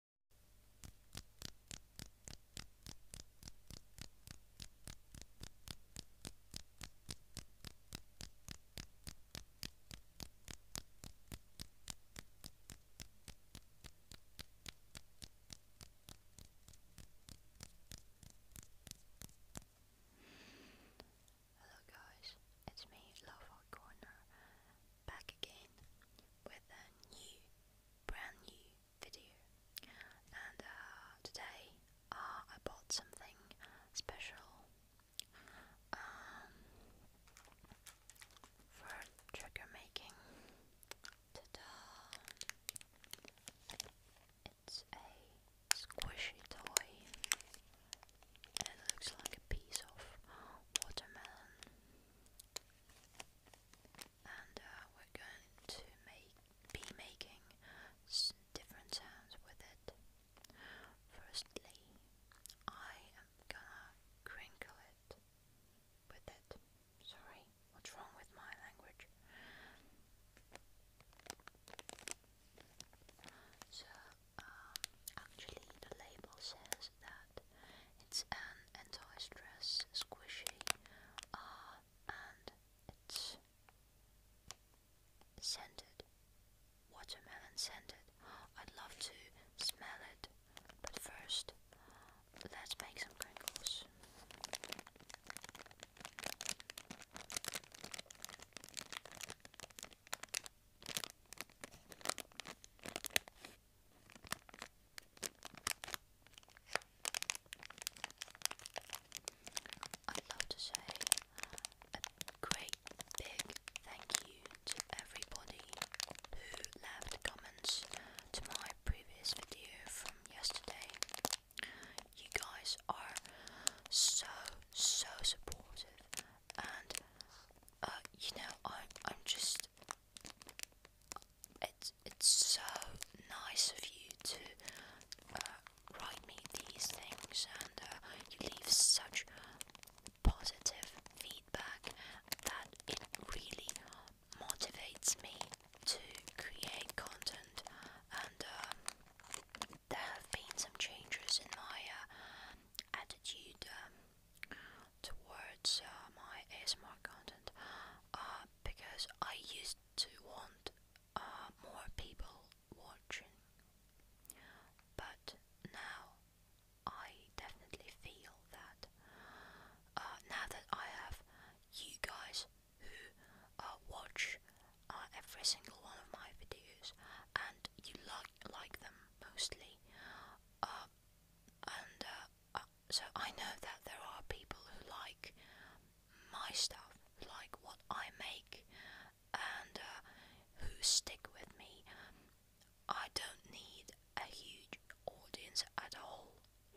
Hello guys, it's me, Love Corner, back again with a new, brand new video. And uh, today uh, I bought something special um, for trigger making. Ta-da! It's a squishy toy. It looks like a piece of watermelon and uh, we're going to be making different sounds with it. Firstly, I am gonna crinkle it with it. Sorry, what's wrong with my language? So, um, actually, the label says that it's an anti-stress, squishy, uh, and it's scented, watermelon scented. I'd love to smell it, but first let's make some crinkles. I'd love to say a great big thank you to everybody who left comments to my previous video from yesterday. You guys are so so supportive and uh, you know I'm I'm just it's it's so nice of you to uh, write me these things, and uh, you leave such positive feedback that it really motivates me to create content. And uh, there have been some changes in my attitude. Um, towards uh, my ASMR content uh, because I used to want uh, more people watching, but now I definitely feel that now that I have you guys who uh, watch every single one of my videos and you like like them mostly and uh, uh, so I know that there are people who like my stuff, like what I make, and uh, who stick with me. I don't need a huge audience at all.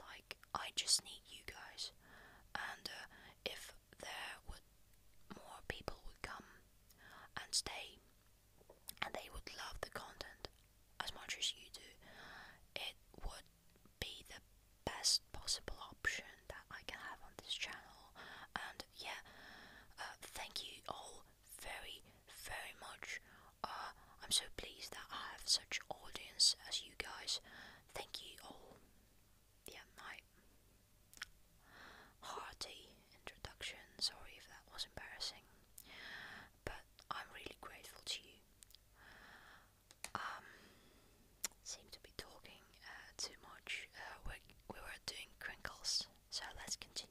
Like I just need you guys, and if there would more people would come and stay and they would love the content as much as you do. It would be the best possible option that I can have on this channel. And yeah, uh, thank you all very, very much. Uh, I'm so pleased that I have such audience as you guys. Thank you all. Yeah, my hearty introduction. Sorry if that was embarrassing, but I'm really grateful to you. Um, seem to be talking uh, too much. Uh, we we were doing crinkles, so let's continue.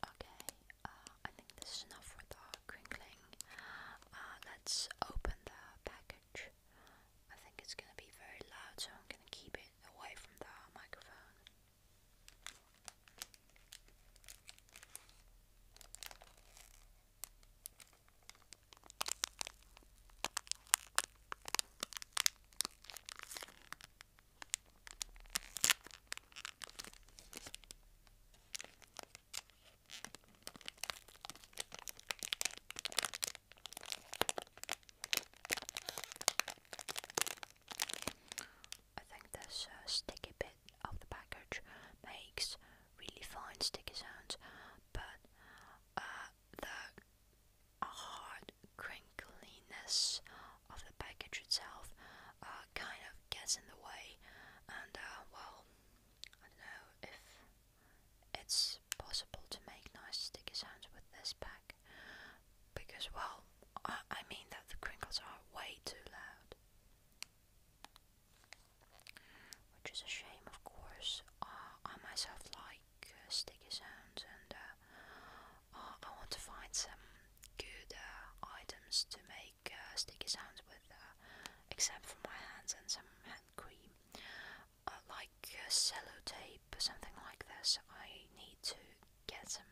Okay, uh, I think this is enough for the crinkling. Uh, let's open the package. I think it's gonna be very loud, so I'm gonna keep it away from the microphone. I think this uh, sticky bit of the package makes really fine sticky sounds, but uh, the hard, crunchy wrinkliness of the package itself uh, kind of gets in the way, and uh, well, I don't know if it's possible to make nice sticky sounds with this pack because, well, I, mean that the crinkles are way too loud, which is a shame, of course. Uh, I myself like sticky sounds and. Uh, I want to find some good uh, items to make uh, sticky sounds with, except for my hands and some hand cream, like uh, sellotape or something like this. I need to get some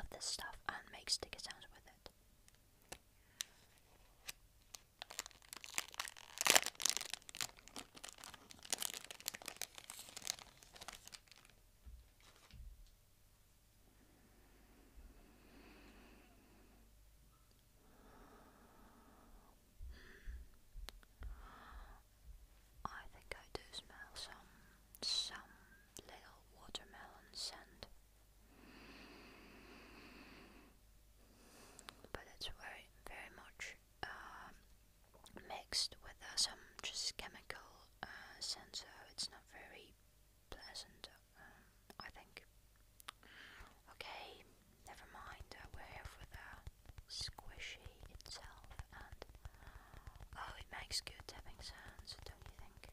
of this stuff and make sticky sounds with it. I think I do smell some some little watermelon scent. But it's very very much um, mixed with uh, some just chemical uh, sensor, it's not very pleasant, uh, I think. Okay, never mind, we're here for the squishy itself, and oh, it makes good tapping sounds, don't you think?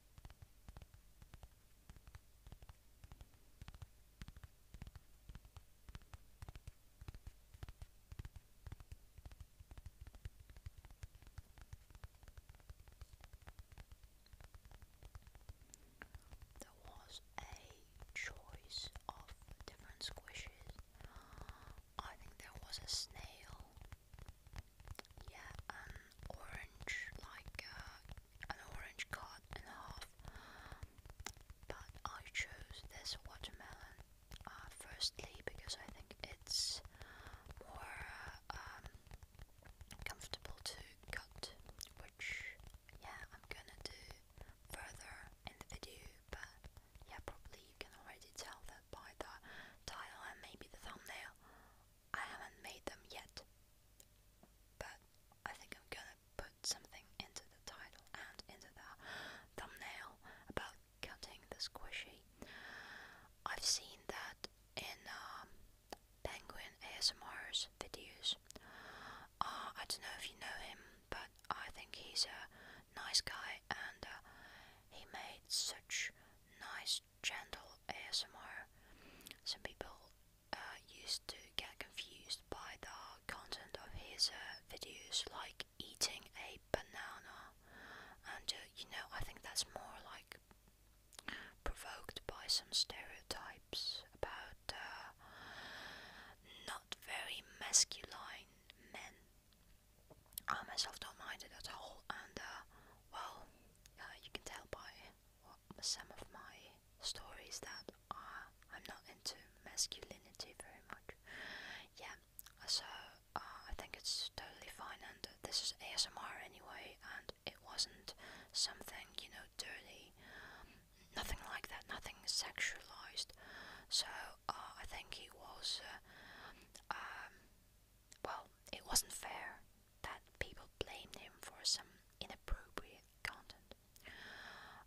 There was a choice of different squishes. I think there was a snail. Yeah, an um, orange like uh, an orange cut in half, but I chose this watermelon uh, firstly because I think it's more um, comfortable to cut, which yeah I'm gonna do further in the video, but yeah probably you can already tell that by the title and maybe the thumbnail. I haven't made them yet, but I think I'm gonna put something into the title and into the thumbnail about cutting the squishy. I've seen that in um, Penguin ASMR's videos. Uh, I don't know if you know him, but I think he's a nice guy and uh, he made such nice just gentle ASMR. Some people uh, used to get confused by the content of his uh, videos, like eating a banana, and uh, you know, I think that's more like provoked by some stereotypes about uh, not very masculine men. I myself don't mind it at all, and uh, well, uh, you can tell by some of my stories that are I'm not into masculinity very much. Yeah, so uh, I think it's totally fine, and this is ASMR anyway, and it wasn't something you know dirty, nothing like that, nothing sexualized. So uh, I think it was. Uh, um, well, it wasn't fair that people blamed him for some inappropriate content.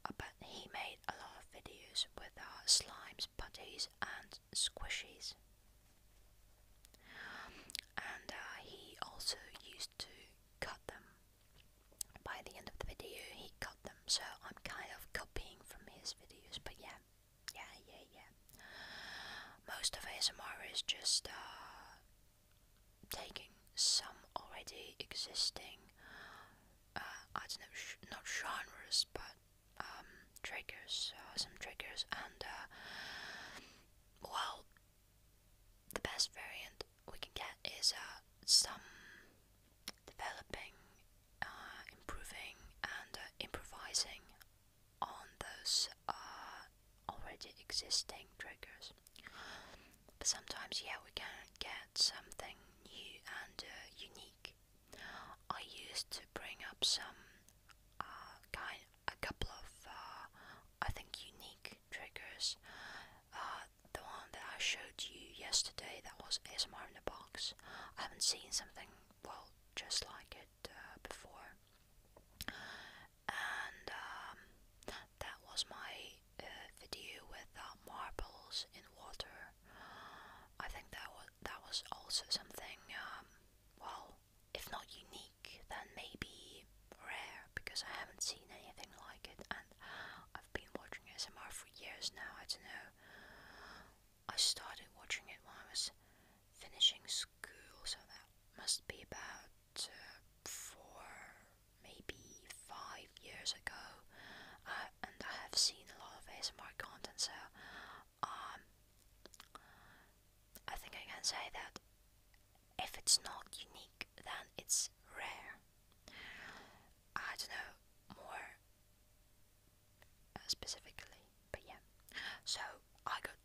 Uh, but he made a lot of videos with uh, slimes, putties, and squishies. And uh, he also used to cut them. By the end of the video, he cut them, so I'm kind of copying from his videos, but yeah, yeah, yeah, yeah. Most of ASMR is just uh, taking some already existing, uh, I don't know, not genres, but um, triggers, uh, some triggers, and well, the best variant we can get is some developing, improving, and improvising on those uh, already existing triggers. But sometimes, yeah, we can get something new and uh, unique. I used to bring up some uh, kind, a couple of, I think, unique triggers. the one that I showed you yesterday, that was ASMR in the box. I haven't seen something well just like it uh, before, and um, that was my uh, video with uh, marbles in water. I think that was that was also something um, well, if not unique, then maybe rare because I haven't seen anything like it, and I've been watching ASMR for years now. I don't know. I started watching it when I was finishing school, so that must be about uh, four, maybe five years ago. and I have seen a lot of ASMR content, so um, I think I can say that if it's not unique, then it's rare. I don't know more uh, specifically but yeah, so I got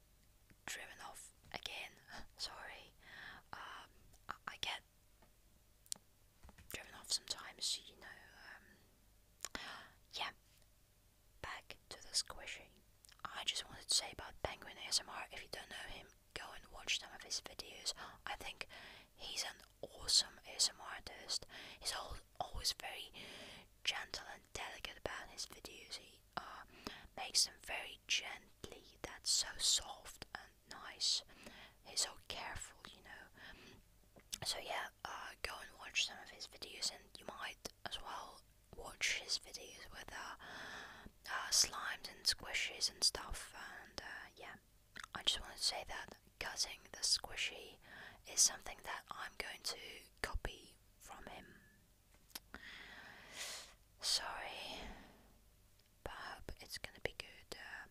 driven off again. Sorry, um, I, get driven off sometimes, you know. Um, yeah, back to the squishy. I just wanted to say about Penguin ASMR. If you don't know him, go and watch some of his videos. I think he's an awesome ASMR artist. He's always very gentle and delicate about his videos. Uh, makes them very gently. That's so soft and nice. He's so careful, you know. So yeah, uh, go and watch some of his videos, and you might as well watch his videos with uh, uh, slimes and squishies and stuff. And uh, yeah, I just want to say that cutting the squishy is something that I'm going to copy from him. Sorry, but I hope it's gonna be good. Um,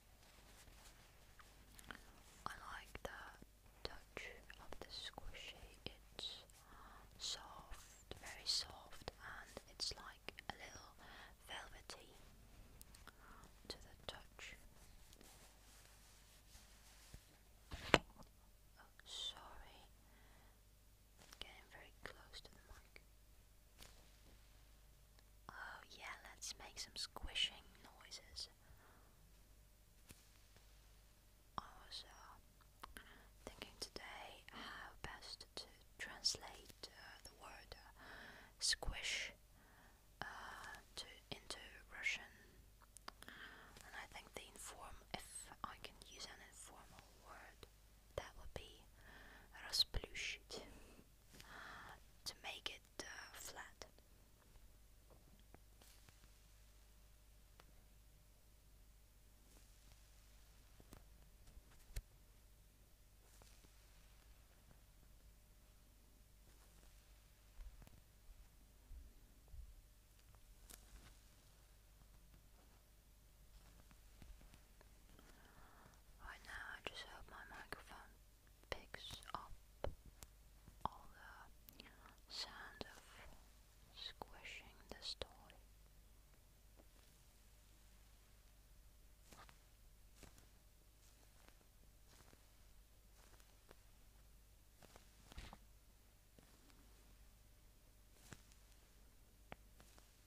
I the touch of the squishy. It's soft, very soft, and it's like a little velvety to the touch. Oh, sorry. Getting very close to the mic. Oh, yeah, let's make some squishing noises. I was thinking today how best to translate uh, the word uh, squish uh, into Russian. And I think the inform, if I can use an informal word, that would be расплющить to make it uh, flat. Right now I just hope my microphone picks up all the sound of squishing this toy. The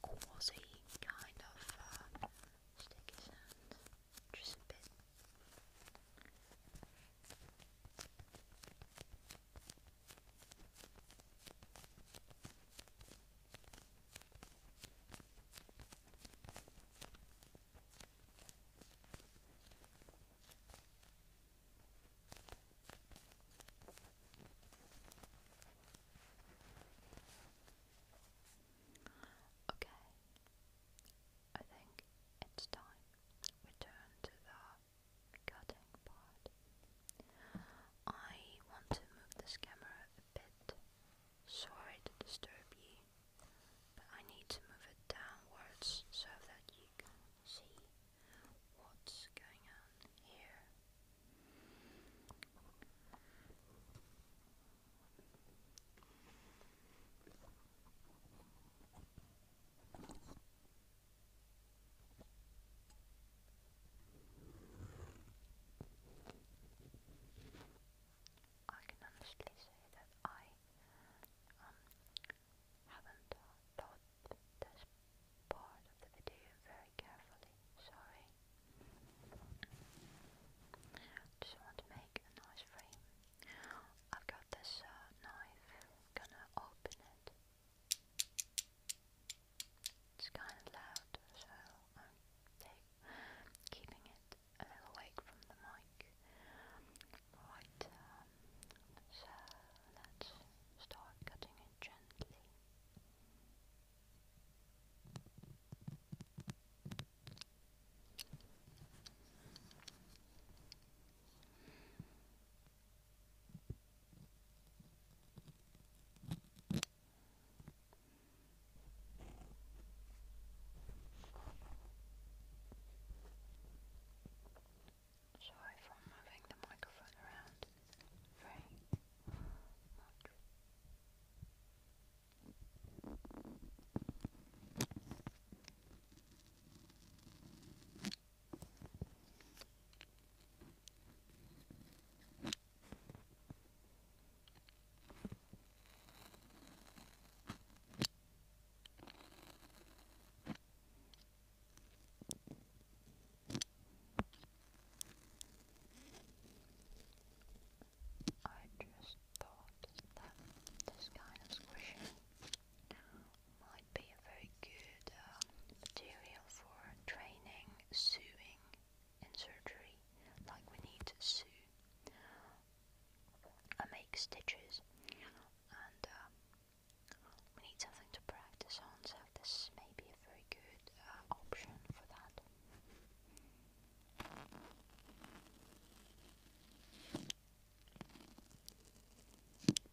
quasi kind of uh, just a bit. Okay, I think it's time we turn to the cutting part. I want to move this camera a bit. Sorry to disturb you, but I need to move it downwards so that you can see what's going on here. I can honestly say that I um, haven't thought this part of the video very carefully. Sorry. Just want to make a nice frame. I've got this uh, knife. Gonna open it. It's kind of loud, so I'm keeping it a little away from the mic. Right, um, so let's start cutting it gently. Sorry for moving the microphone around very much. I just thought that this kind of squishing might be be a very good uh, material for training sewing in surgery, like we need to sew and make stitches, and uh, we need something to practice on, so this may be a very good uh, option for that.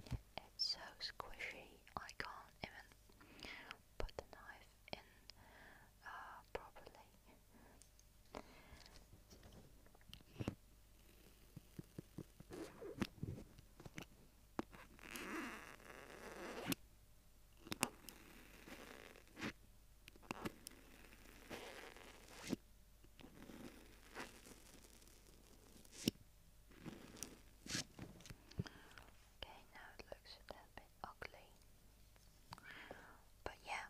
It's so squishy, I can't even put the knife in uh, properly. Okay, now it looks a bit ugly. But yeah,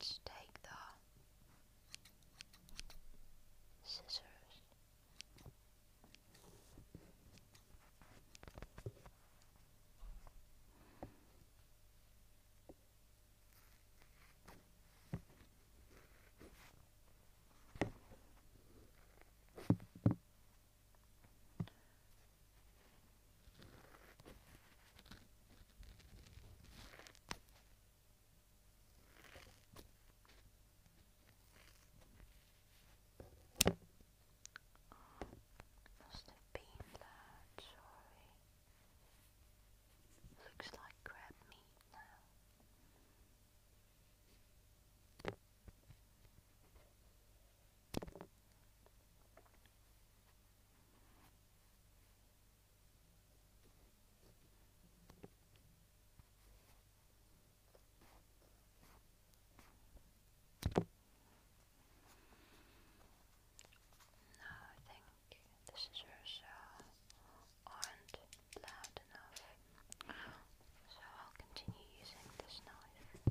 Let's take the scissors. Oh, must have been loud, sorry. Looks like crab meat now. No, I think the scissors aren't loud enough, so I'll continue using this knife.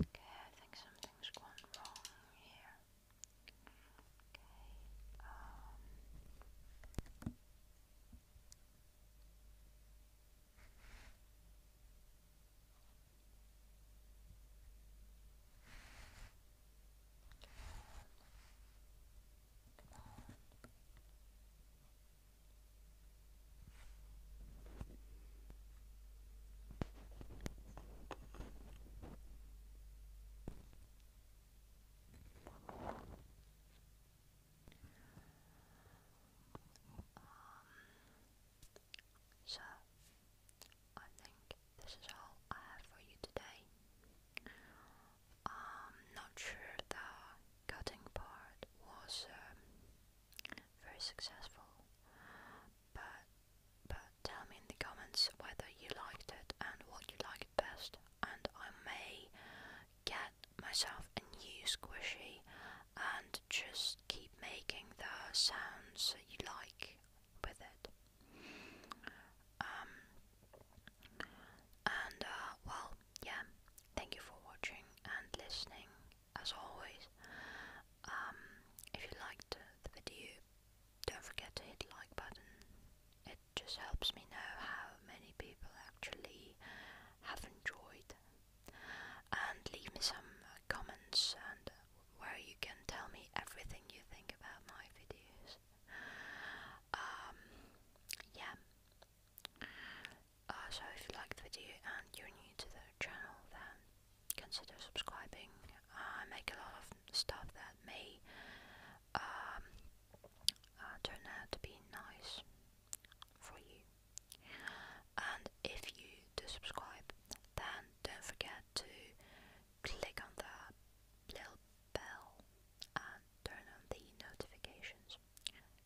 Okay, I think something's gone wrong here. Okay. Um. Come on. Come on so I think this is all I have for you today. I'm um, not sure the cutting part was um, very successful, but but tell me in the comments whether you liked it and what you liked best, and I may get myself a new squishy and just keep making the sounds you like with it. Um, and uh, well, yeah, thank you for watching and listening as always. Um, if you liked the video, don't forget to hit like button. It just helps me know how many people actually have enjoyed. And leave me some comments and where you can tell me everything you think about my videos. Um, yeah. Uh, so if you liked the video and you're new to the channel, then consider subscribing. I make a lot of stuff that may um, uh, turn out to be nice for you. And if you do subscribe, then don't forget to click on the little bell and turn on the notifications.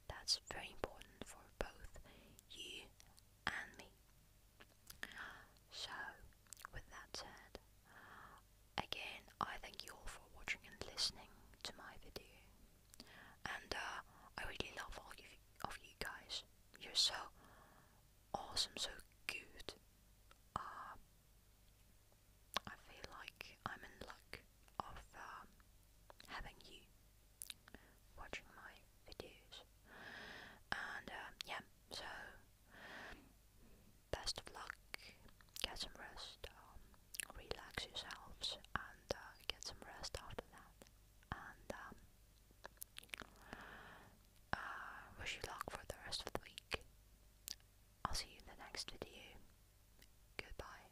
That's very important for both you and me. So, with that said, again, I thank you all for watching and listening to my video. And uh, I really love all of you guys. You're so awesome, so good. Uh, I feel like I'm in luck of um, having you watching my videos. And um, yeah, so best of luck, get some rest, um, relax yourselves, and uh, get some rest after that. And um, uh, wish you luck for the rest of the week. I'll see you in the next video. Goodbye.